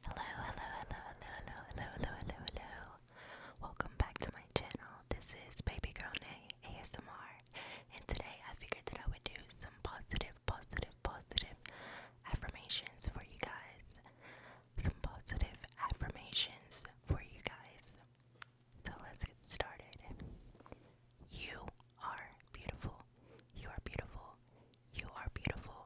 Hello, hello, hello, hello, hello, hello, hello, hello, hello. Welcome back to my channel. This is Baby Girl Nay ASMR, and today I figured that I would do some positive, positive, positive affirmations for you guys. Some positive affirmations for you guys. So let's get started. You are beautiful. You are beautiful. You are beautiful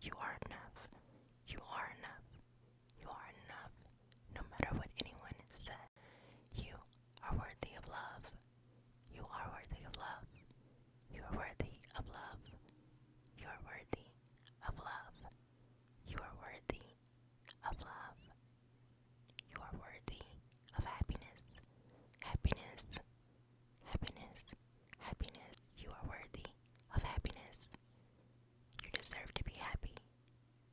You are enough. You are enough. You are enough. No matter what anyone says, you are worthy of love. You are worthy of love. You are worthy of love. You are worthy of love. You are worthy of love. You are worthy of happiness. Happiness Happiness, happiness. You are worthy of happiness. You deserve to be happy.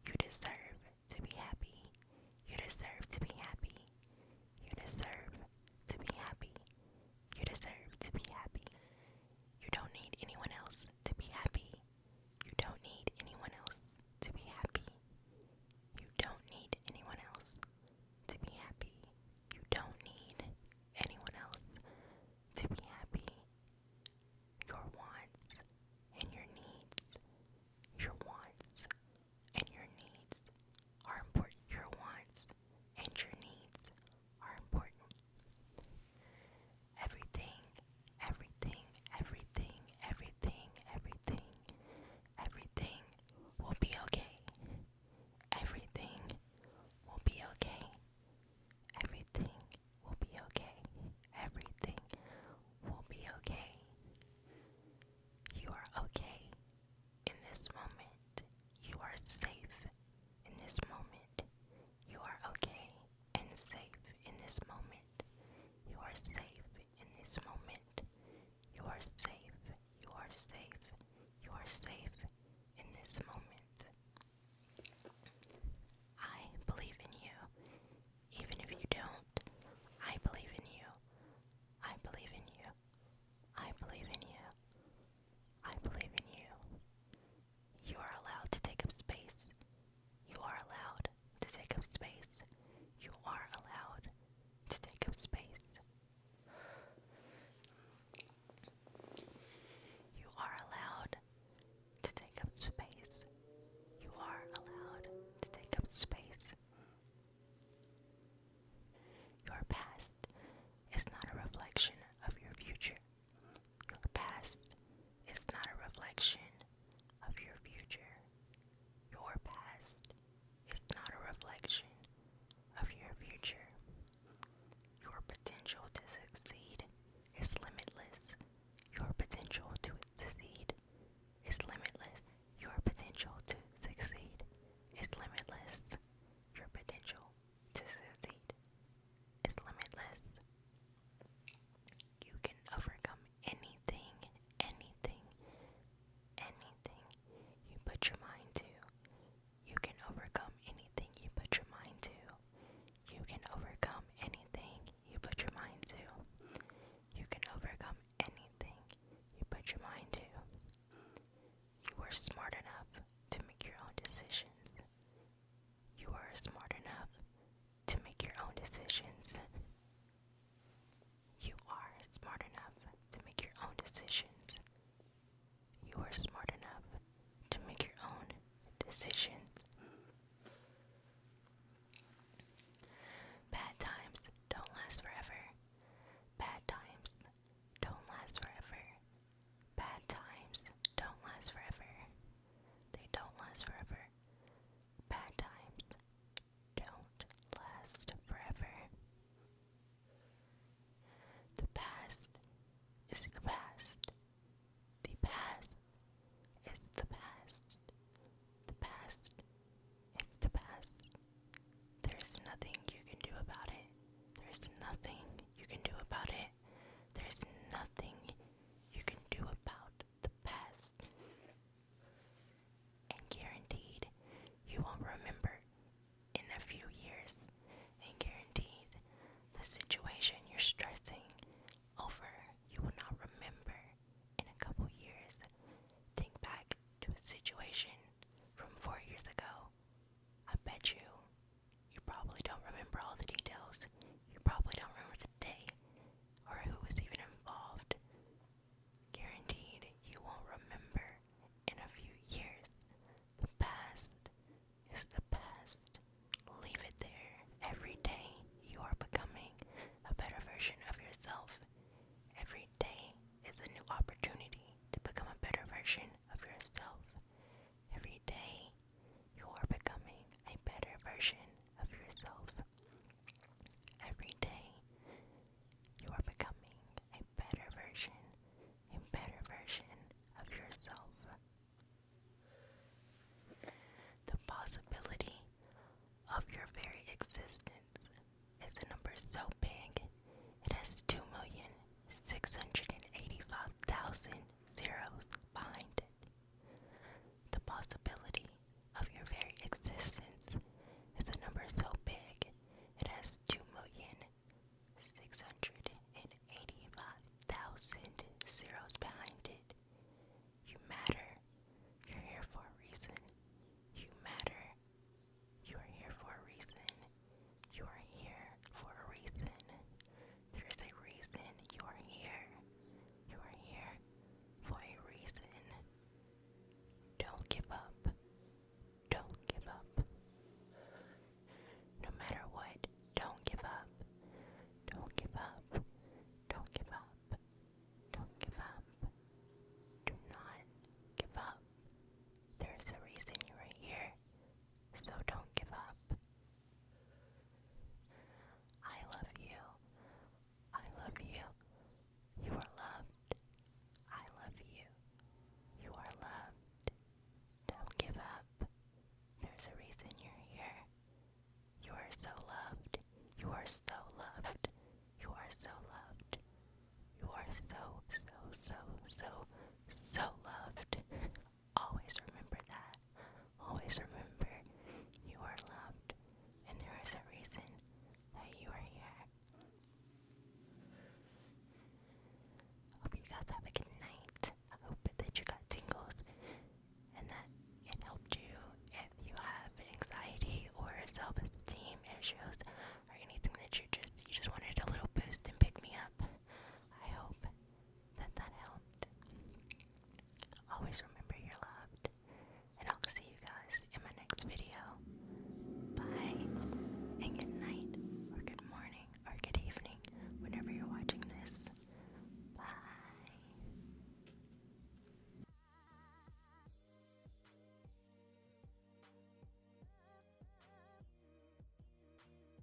You deserve to be happy. You deserve to be happy. You deserve to be happy. You deserve to be happy. You don't need anyone else to be happy. You don't need anyone else to be happy. You don't need anyone else to be happy. You don't need anyone else to be happy. Your wants and your needs, your wants and your needs are important. Your wants and your needs are important. Everything, everything, everything, everything, everything, everything will be okay. Everything will be okay. Everything will be okay. Everything will be okay. You are okay in this moment. You are safe in this moment. You are okay and safe in this moment. You are safe in this moment. You are safe, you are safe, you are safe in this moment. I believe in you. Even if you don't, I believe in you. I believe in you. I believe in you. I believe in you. You are allowed to take up space. You are allowed to take up space. You are allowed to take up space. You are allowed to take up space. You are allowed to take up space. Your past is not a reflection of your future. Your past is not a reflection of your future. Your past is not a reflection of your future. Your potential to succeed is limitless. Your potential to succeed is limitless. Your potential to succeed is limitless. Your potential to succeed is limitless. You can overcome anything, anything, anything you put your mind to. You can overcome anything you put your mind to. You can overcome anything you put your mind to. You can overcome anything you put your mind to. You are smart enough to make your own decisions. You are smart enough to make your own decisions. You are smart enough to make your own decisions. You are smart enough to make your own decisions. Bad times don't last forever. Bad times don't last forever. Bad times don't last forever. They don't last forever. Bad times don't last forever. The past is the past. The past is the past. The past is the past. There's nothing you can do about it. There's nothing you can do about it. There's nothing you can do about the past. And guaranteed you will remember in a few years, and guaranteed the situation you're stressing over, you will not remember in a couple years. Think back to a situation from four years ago. I bet you, you probably don't remember all the details. You probably don't remember the day or who was even involved. Guaranteed you won't remember in a few years. The past is the past. Leave it there. Every day you are becoming a better version of yourself. Every day is a new opportunity to become a better version of yourself. Every day you are becoming a better version of yourself. Every day, you are becoming a better version, a better version of yourself. The possibility of your very existence is a number so big, it has 2,685,000 zeros behind it. The possibility of your very existence is a number so big it has 2,685,000 zeros behind it. You matter. You're here for a reason. You matter. You are here for a reason. You are here for a reason. There's a reason you're here. You're here for a reason. Don't give up. Don't give up. No matter what, don't give up. Don't give up. Don't give up. Don't give up. Do not give up. There's a reason you are here, so don't give up. I love you. I love you. You are loved. I love you. You are loved. Don't give up. There's a reason you're here. You are so loved. You are so loved. You are so loved. You are so, so, so, so, so loved. Always remember that. Always remember you are loved, and there is a reason that you are here. Hope you guys have a good night. I hope that you got tingles and that it helped you. If you have anxiety or self-esteem issues or anything that you just you just wanted a little boost and pick me up, I hope that that helped. Always remember you're loved, and I'll see you guys in my next video. Bye, and good night, or good morning, or good evening, whenever you're watching this. Bye.